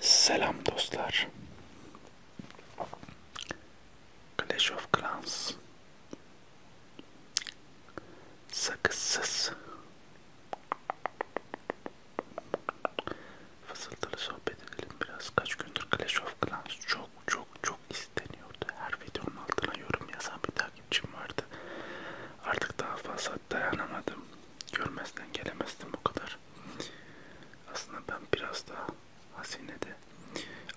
Selam dostlar. Clash of Clans. Sakızsız. Fısıltılı sohbet edelim biraz. Kaç gündür Clash of Clans çok çok çok isteniyordu. Her videonun altına yorum yazan bir tane takipçim vardı. Artık daha fazla dayanamadım. Görmezden gelemezdim o kadar. Aslında ben biraz daha hazinede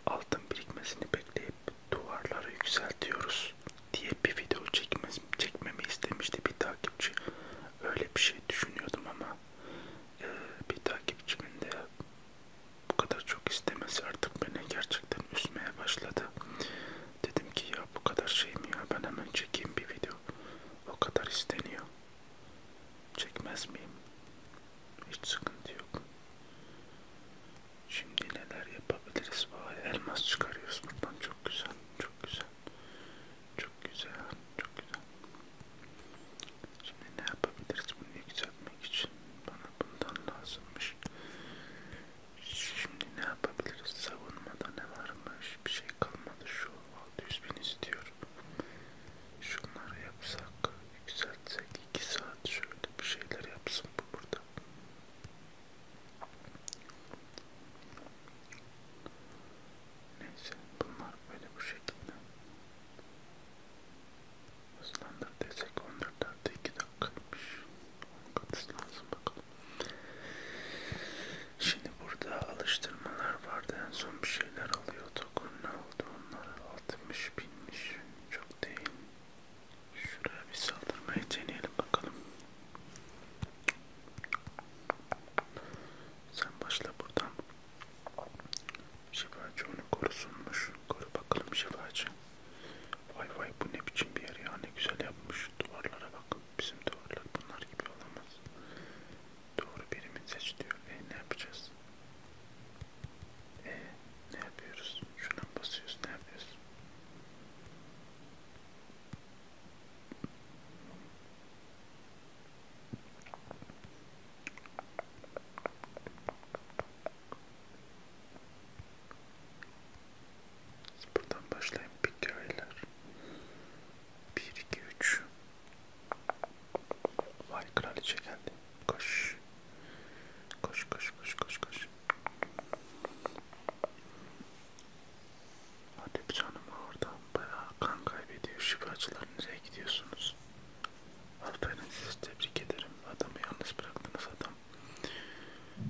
altın birikmesini bekleyip duvarları yükseltiyoruz diye bir video çekmez, çekmemi istemişti bir takipçi. Öyle bir şey düşünüyordum ama e, bir takipçimin de bu kadar çok istemesi artık beni gerçekten üzmeye başladı. Dedim ki ya bu kadar şey mi ya ben hemen çekeyim bir video o kadar isteniyor çekmez miyim hiç sıkıntı yok şimdi neler yapabiliriz vay elmas çıkarıyoruz buradan çok güzel çok güzel çok güzel çok güzel şimdi ne yapabiliriz bunu yükseltmek için bana bundan lazımmış Şimdi ne yapabiliriz? Savunmada ne varmış? Bir şey kalmadı. Şu 600 bin istiyorum. Şunları yapsak, yükseltsek 2 saat şöyle bir şeyler yapsın bu burada. Neyse bunlar böyle bu şekilde. Hızlandır desek 14 artı 2 dakikaymış. 10 katı lazım bakalım. Şimdi burada alıştırmalar vardı. En son bir şeyler alıyorduk. Ne oldu onlar? 60 binmiş. Çok değil. Şuraya bir saldırmayı deneyelim bakalım. Sen başla buradan. Şifacı onu korusunmuş. Koru bakalım şifacı. Vay vay bu ne biçim bir yer ya ne güzel yapmış duvarlara bak bizim duvarlar bunlar gibi olamaz. Doğru birimin seç diyor e ne yapacağız? E ne yapıyoruz? Şuna basıyoruz ne yapıyoruz? Buradan başlayayım hikayeler. 1 2 3 Vay kraliçe geldi. Koş. Koş koş koş koş koş. Hadi canım oradan bayağı kan kaybediyor. Şifacılar nereye gidiyorsunuz? Aferin sizi tebrik ederim. Adamı yalnız bıraktınız. Adam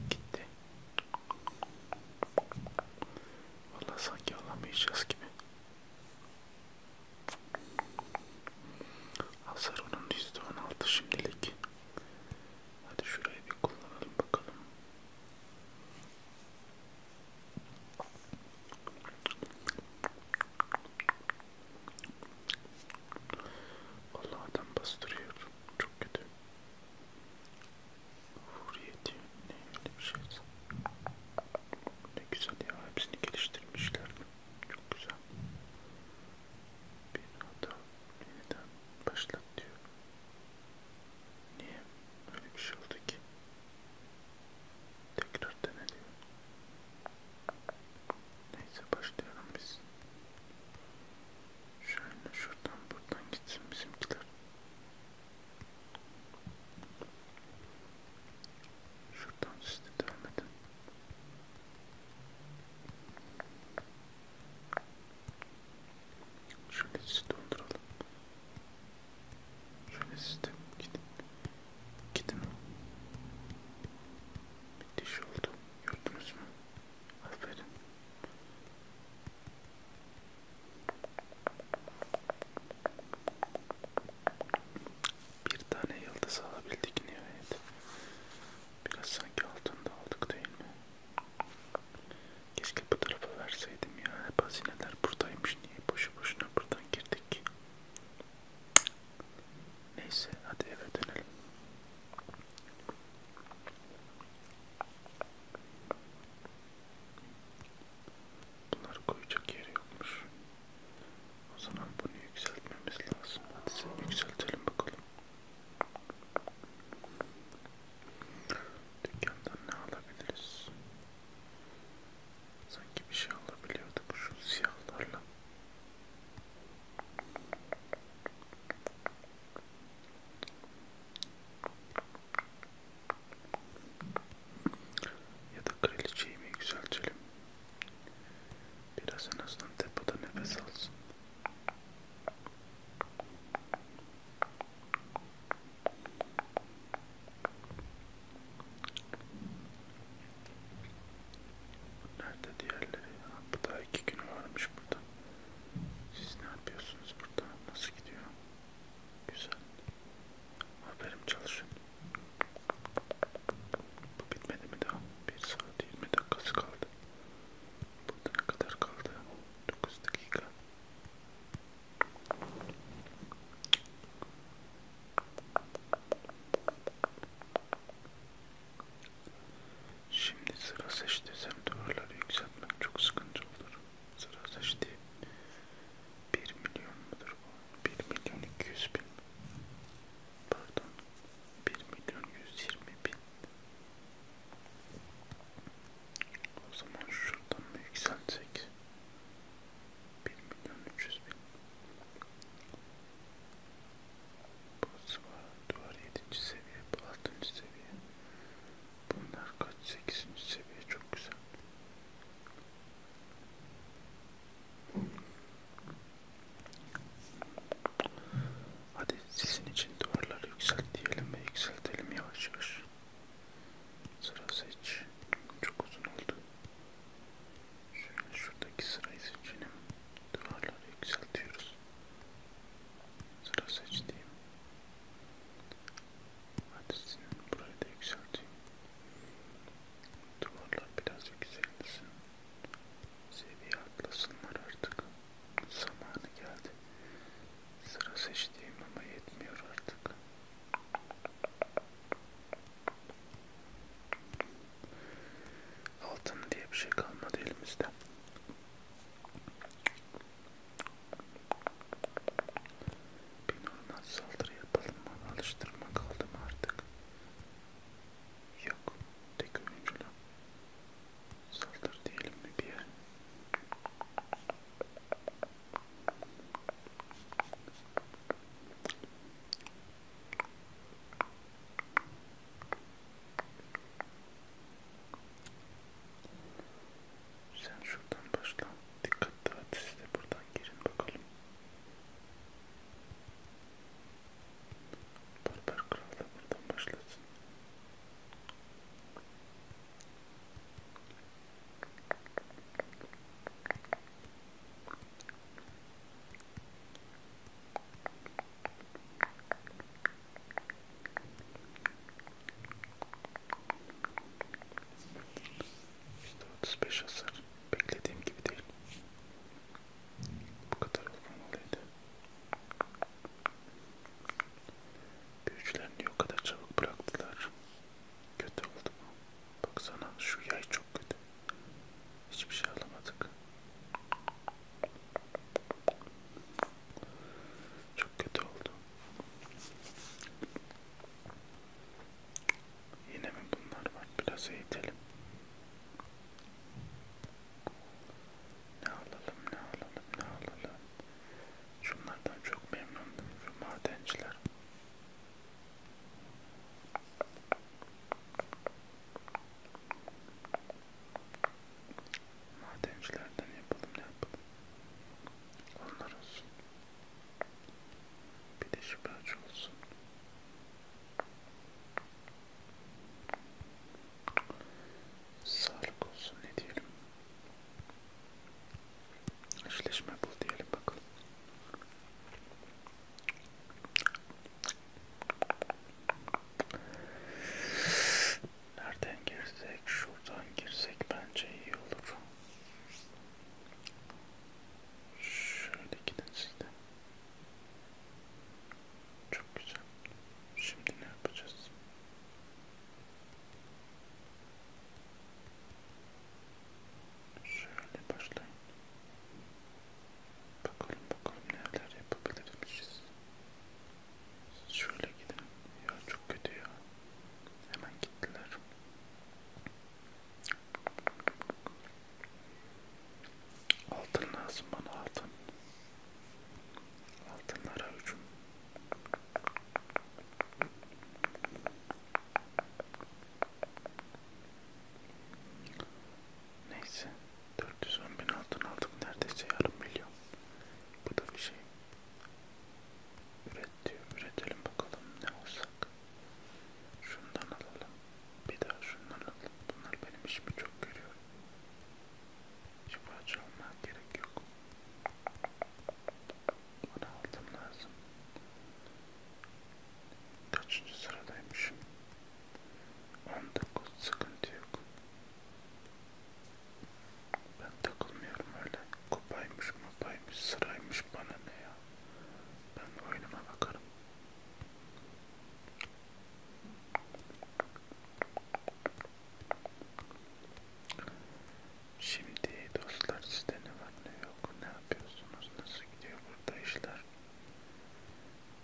Gitti. Valla sanki alamayacağız gibi. Hasar onun %16 şimdilik. Hadi şurayı bir kullanalım bakalım. Allah adam bastırıyor. Çok kötü. Hurriyeti ne öyle bir şey. Ne güzel ya hepsini geliştirmişler. Çok güzel. Bir hata yeniden başlat diyor. Niye öyle bir şey oldu ki? Tekrar dene diyor. Neyse başlayalım biz. Şöyle şuradan buradan gitsin bizimkiler. Şuradan siz de devam edin. Şöyle sizi donduralım. Şöyle siz de gidin. Gidin. Bitiş oldu. Gördünüz mü? Aferin. Bir tane yıldız alabildik nihayet. Biraz sanki altında aldık değil mi? Keşke bu tarafa verseydim ya. Hep hazineler buradaymış. Niye boşu boşuna buradan girdik? Neyse hadi eve dönelim. Bunları koyacak yeri yokmuş. O zaman bunu yükseltmemiz lazım. Hadi sen yükseltelim bakalım. Dükkandan ne alabiliriz? Sanki bir şey alabiliyorduk şu siyahlarla. Ya da kraliçeyi mi yükseltelim? Biraz en azından depoda nefes alsın. Nerede diğerleri? Ha, bu da iki günü varmış burada. Siz ne yapıyorsunuz burada? Nasıl gidiyor? Güzel. Haberim çalışın. Bu bitmedi mi daha? 1 saat 20 dakikası kaldı. Burada ne kadar kaldı? 9 dakika. Şimdi sıra seç desem duvarları yükseltmek çok sıkıntı olur. Sıra seçti. 1 milyon mudur bu? 1 milyon 200 bin. Pardon. 1 milyon 120 bin. O zaman şuradan mı yükseltsek? 1 milyon 300 bin. Burası var. Duvar 7. seviye. Bu 6. seviye. Bunlar kaç? 8. seviye çok güzel. Hadi sizin için duvarları yükselt diyelim ve yükseltelim yavaş yavaş. Sıra seç. Çok uzun oldu. Şöyle şuradaki sırayı seçelim. Duvarları yükseltiyoruz. Sıra seç diyeyim. Hadi senin burayı da yükselteyim. Duvarlar biraz yükselsin. Seviye atlasınlar artık. Zamanı geldi. Sıra seçtiğim ama yetmiyor artık. Altın diye bir şey kalmadı elimizde. Bir normal saldırı yapalım mı? Alıştırma kaldı mı artık? Yok. Tek oyuncuyla. Saldır diyelim mi bir yer? Sen şuradan başla. Dikkatli hadi siz de buradan girin bakalım. Barbar Kral da buradan başlasın. İşte 35 hasar beklediğim gibi değil. Bu kadar olmalıydı. Büyücülerini o kadar çabuk bıraktılar. Kötü oldu bu. Baksana şu yay çok kötü. Hiçbir şey alamadık. Çok kötü oldu. Yine mi bunlar var? Biraz eğitelim. Ne alalım, ne alalım, ne alalım. Şunlardan çok memnundum. Şu madenciler. Madencilerden yapalım ne yapalım. Onlar olsun. Bir de şüphaç olsun. Sağlık olsun ne diyelim. Eşleşme bul diyelim bakalım. Nereden girsek? Şuradan girsek bence iyi olur. Şöyle gidin siz de. Çok güzel. Şimdi ne yapacağız? Şöyle başlayın. Bakalım bakalım neler yapabiliriz. Şöyle gidelim. Ya çok kötü ya. Hemen gittiler. Altın lazım bana altın. Altınlara hücum. Neyse 410 bin altın aldık neredeyse yarım milyon. Bu da bir şey. Üret diyor. Üretelim bakalım ne olsak. Şundan alalım. Bir daha şundan alalım. Bunlar benim işimi çok görüyor. Şifaç almaya gerek yok. Bunu aldım lazım. Kaçıncı sıradaymışım? 19 sıkıntı yok. Ben takılmıyorum öyle. Kupaymış, mupaymış, sıraymış bana ne ya. Ben oyunuma bakarım. Şimdi dostlar sizde ne var ne yok ne yapıyorsunuz nasıl gidiyor burada işler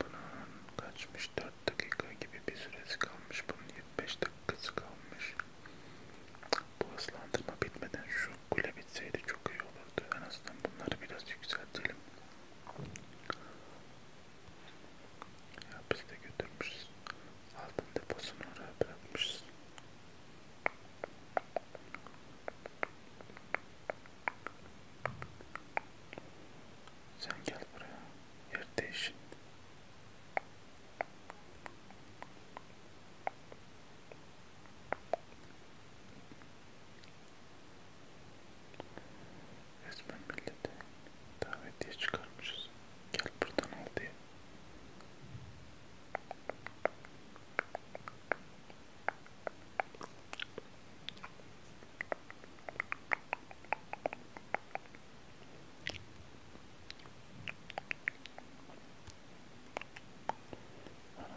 bunun kaçmış 64 dakika gibi bir süresi kalmış. Bunun 25 dakikası kalmış. Bu hızlandırma bitmeden şu kule bitseydi çok iyi olurdu. En azından bunları biraz yükseltelim. Ya biz de götürmüşüz. Altın deposunu oraya bırakmışız. Sen gel buraya yer değişin. Resmen millete davetiye çıkarmışız. Gel buradan al diye.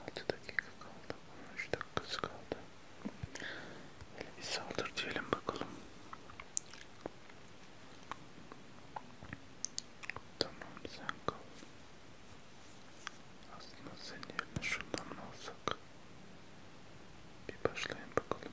16 dakika kaldı. 13 dakikası kaldı. Hele bir saldır diyelim bakalım. Tamam sen kal. Aslında senin yerine şundan mı alsak? Bir başlayın bakalım.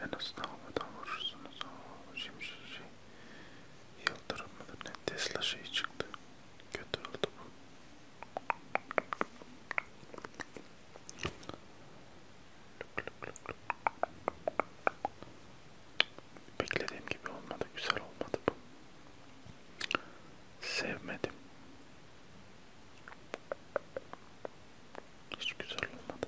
En azından havadan vurursunuz. Aa, şimdi şey, yıldırım mıdır ne? Tesla şeyi çıktı. Kötü oldu bu. Beklediğim gibi olmadı. Güzel olmadı bu. Sevmedim. Hiç güzel olmadı.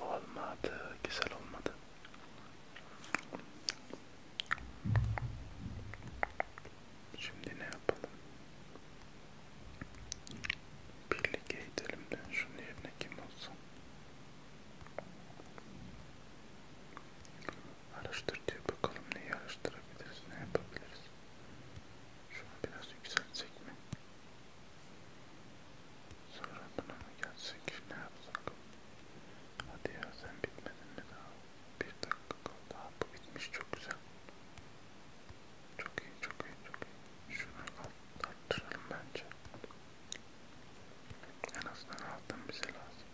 Olmadı, güzel olmadı. Şimdi ne yapalım? Birlikte gidelim de şunun yerine kim olsun? Araştır diyor. Bakalım neyi araştırabiliriz, ne yapabiliriz. Şunu biraz yükseltsek mi? Sonra buna mı gelsek? Ne yapsak? Hadi ya sen bitmedin mi daha? Bir dakika kaldı. Daha bu bitmiş çok güzel. Çok iyi, çok iyi, çok iyi. Şunu arttıralım bence. En azından altın bize şey lazım.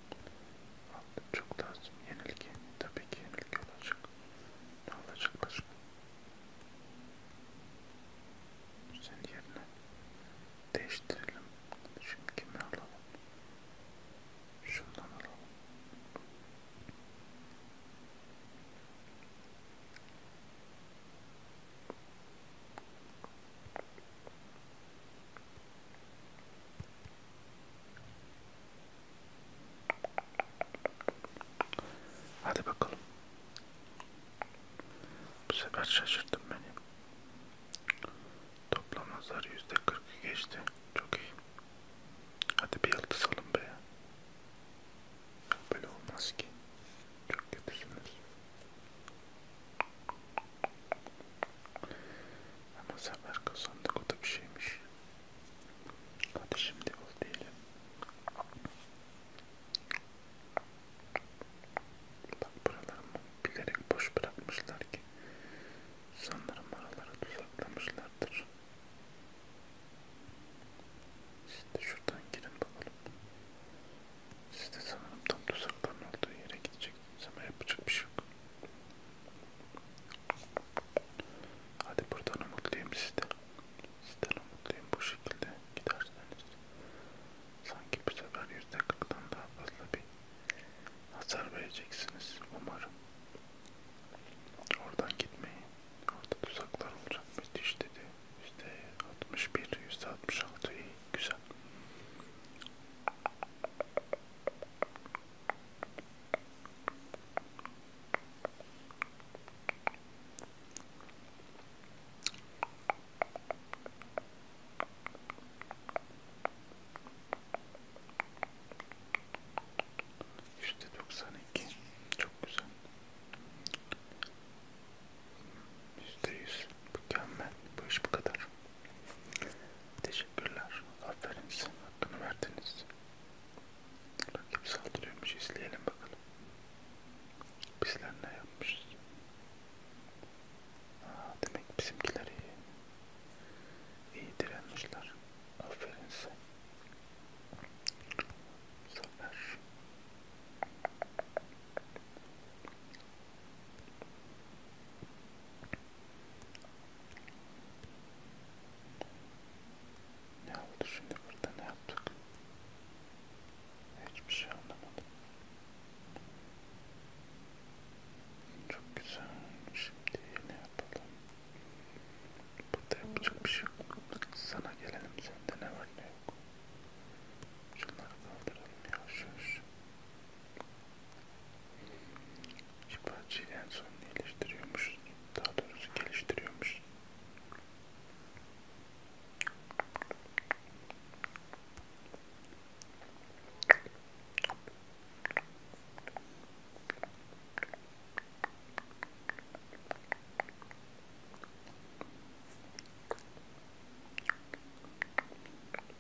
Altın çok lazım. Yenilgi. Tabii ki yenilgi olacak. Ne olacak başka? Senin yerine değiştirelim. Şimdi kimi alalım? Şundan alalım. Hadi bakalım. Bu sefer şaşırttın beni. Toplam nazar yüzde kırkı geçti. Çok iyi. Hadi bir yıldız alın be. Böyle olmaz ki. Çok kötüsünüz. Ama sefer kazandık o da bir şeymiş. Hadi şimdi ol diyelim. Bak buralarımı bilerek boş bırakmışlar ki sanırım aralara tuzaklamışlardır. Şimdi şuradan girin bakalım. Siz de sanırım tam tuzakların olduğu yere gidecektiniz ama yapacak bir şey yok. Hadi buradan umutluyum sizden. Sizden umutluyum bu şekilde giderseniz. Sanki bu sefer yüzde kırktan daha fazla bir hasar vereceksiniz umarım. Oradan gitmeyin. Orada tuzaklar olacak müthiş dedi. %61, %66 iyi. Güzel. Yüzde doksan iki, çok güzel. Yüzde yüz, mükemmel. Bu iş bu kadar. Teşekkürler. Aferin size. Hakkını verdiniz. Rakip saldırıyormuş. İzleyelim bakalım. Bizler ne yapmışız? Aa, demek bizimkiler iyi. İyi direnmişler. Aferin size. Zafer. Ne oldu şimdi burada ne yaptık? Hiçbir şey anlamadım. Çok güzel. Şimdi ne yapalım? Burada yapacak bir şey yok. Sana gelelim. Sende ne var ne yok. Şunları kaldıralım yavaş yavaş. İki parçayı en son iyileştiriyormuş. Daha doğrusu geliştiriyormuş.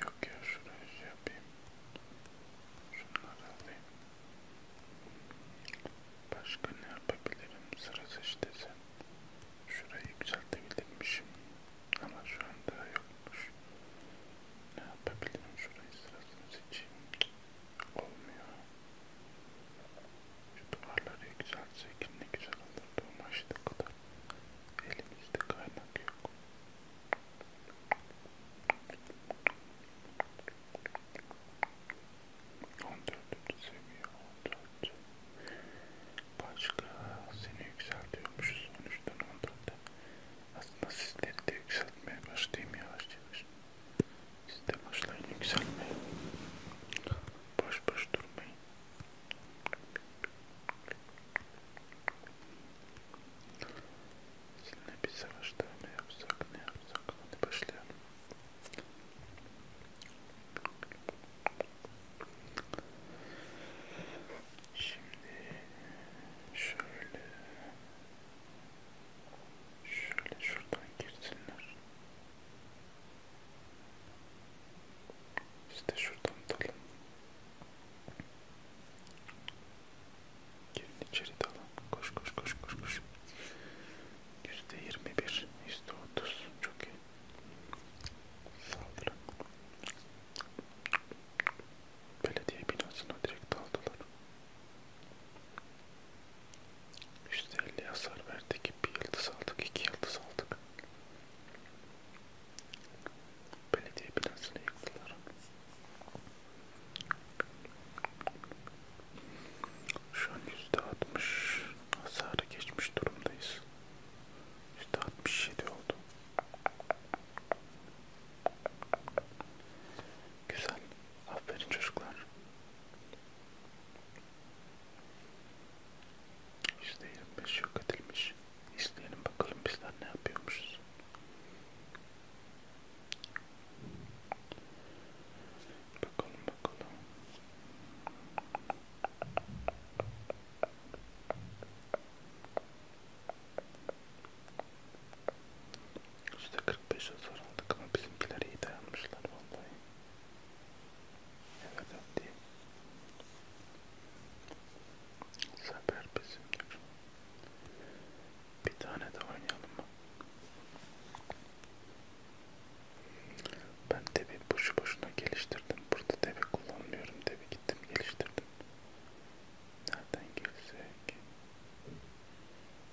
Yok ya şurayı şey yapayım. Şunları alayım. Başka ne yapabilirim? Sıra seçti sen. Şurayı yükseltebilirmişim. Ama şu anda yokmuş. Ne yapabilirim? Şurayı sırasını seçeyim. Olmuyor. Şu duvarları yükseltsek ne güzel olurdu ama işte kadar elimizde kaynak yok. On dördüncü seviye, on dört. Başka seni yükseltiyormuşuz on üçten on dörtte. Aslında sizleri de yükseltmeye başlayayım yavaş yavaş. Siz de başlayın yükselmeye. Boş boş durmayın. Sizinle bir savaş daha mı yapsak ne yapsak hadi başlayalım. Şimdi şöyle şöyle şuradan girsinler. İşte şuradan dalın. Gelin içeri dalın. Koş koş koş koş koş. Yüzde yirmi bir, yüzde otuz. Çok iyi. Saldırın. Belediye binasına direkt daldılar. 150 hasar verdik. Bir yıldız aldık. iki yıldız aldık. Belediye binasını yıktılar. Şu an %60 hasarı geçmiş durumdayız. %67 oldu. Güzel. Aferin çocuklar. %25 yok edilmiş. İzleyelim bakalım bizler ne yapıyormuşuz. Bakalım bakalım. %45 hasar aldık ama bizimkiler iyi dayanmışlar vallahi. Ne kadar değil. Sefer bizimdir. Bir tane de oynayalım mı? Ben devi boşu boşuna geliştirdim. Burada devi kullanmıyorum. Devi gittim geliştirdim. Nereden girsek?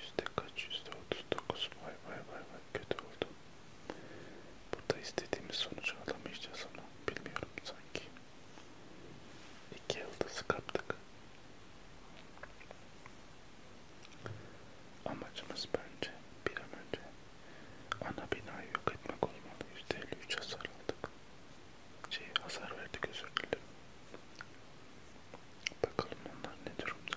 Yüzde kaç? Yüzde otuz dokuz. Vay vay vay vay kötü oldu. Burada istediğimiz sonucu alamayacağız ama bilmiyorum sanki. İki yıldızı kaptık. Amacımız bence bir an önce ana binayı yok etmek olmalı. Yüzde elli üç hasar aldık. Şey hasar verdik özür dilerim. Bakalım onlar ne durumda.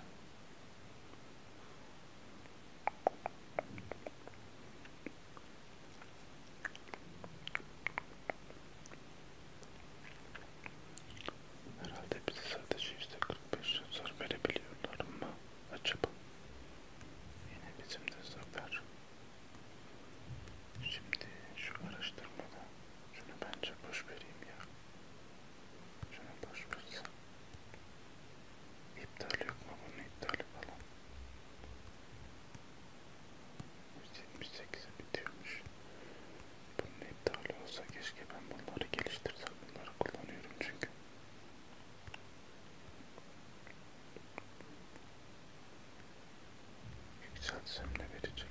Herhalde bize sadece yüzde 45 zar verebiliyorlar mı acaba? Yine bizim de zafer. Şimdi şu araştırmada şunu bence boş vereyim ya. Şunu boş versem. İptal yok mu bunun iptali falan? 178'e bitiyormuş. Bunun iptali olsa keşke ben bunları geliştirsem. Bunları kullanıyorum çünkü. Yükseltsem ne verecek?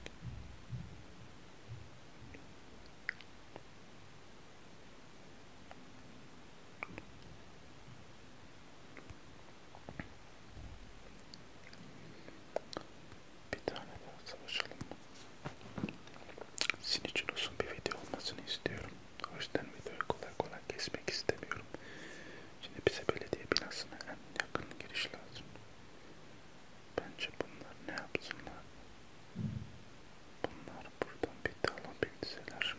Bir tane daha savaşalım. Sizin için uzun bir video olmasını istiyorum. O yüzden videoyu kolay kolay kesmek istemiyorum. Şimdi bize belediye binasına en yakın giriş lazım. Bence bunlar ne yapsınlar? Bunlar buradan bir dala bekleseler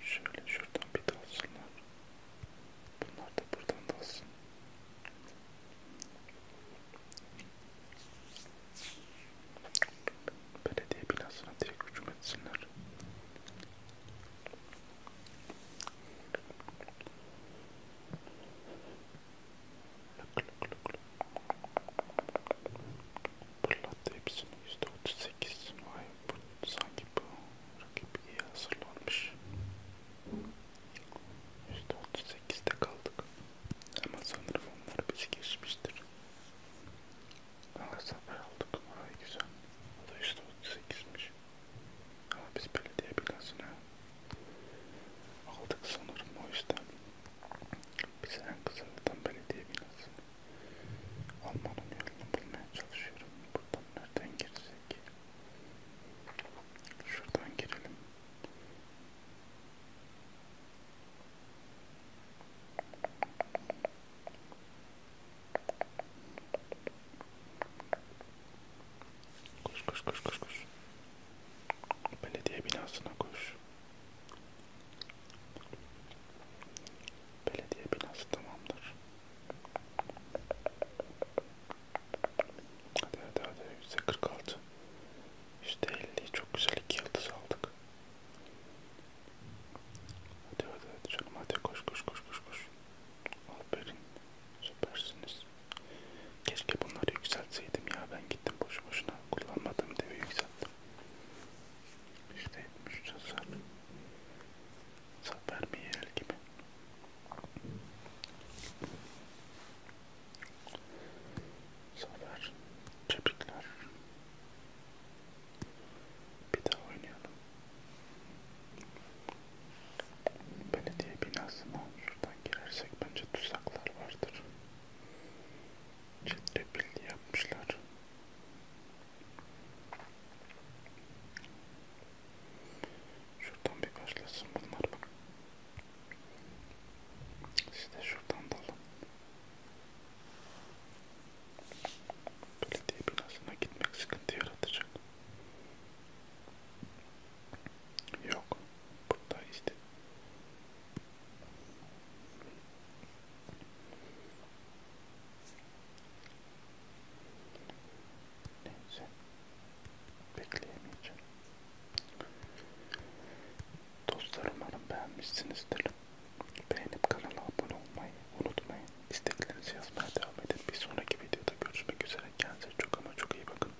şöyle şuradan bir dalsınlar. Bunlar da buradan dalsın. Belediye binasına direkt hücum etsinler. Pırlattı hepsini %38. Vay bu, sanki bu rakip iyi hazırlanmış. %38'de kaldık. Ama sanırım onlar bizi geçmiştir. Valla zafer aldık. Vay güzel. O da %38'miş. Ama biz belediye binasını aldık sanırım o yüzden bize en kısa yoldan belediye binası. Almanın yolunu bulmaya çalışıyorum. Buradan nereden girecek? Şuradan girelim. Koş koş koş koş koş. Belediye binasına koş. Belediye binası tamamdır. Hadi hadi hadi %46 %50 çok güzel iki yıldız aldık. Hadi hadi hadi canım hadi koş koş koş koş koş. Aferin süpersiniz. Keşke bunları yükseltseydim ya ben gittim boşu boşuna kullanmadım devi yükselttim. İşte etmiş tasar. Zafer mi yer gibi. Zafer, çepikler. Bir daha oynayalım. Belediye binasına şuradan girersek bence tuzaklar vardır. Ciddi bildi yapmışlar. Şuradan bir başlasın bunlar bak. Siz de şuradan dalın. Belediye binasına gitmek sıkıntı yaratacak. Yok. Burada işte Neyse. Bekleyemeyeceğim. Dostlar umarım beğenmişsinizdir. Beğenip kanala abone olmayı unutmayın. İsteklerinizi yazmaya devam edin. Bir sonraki videoda görüşmek üzere. Kendinize çok ama çok iyi bakın.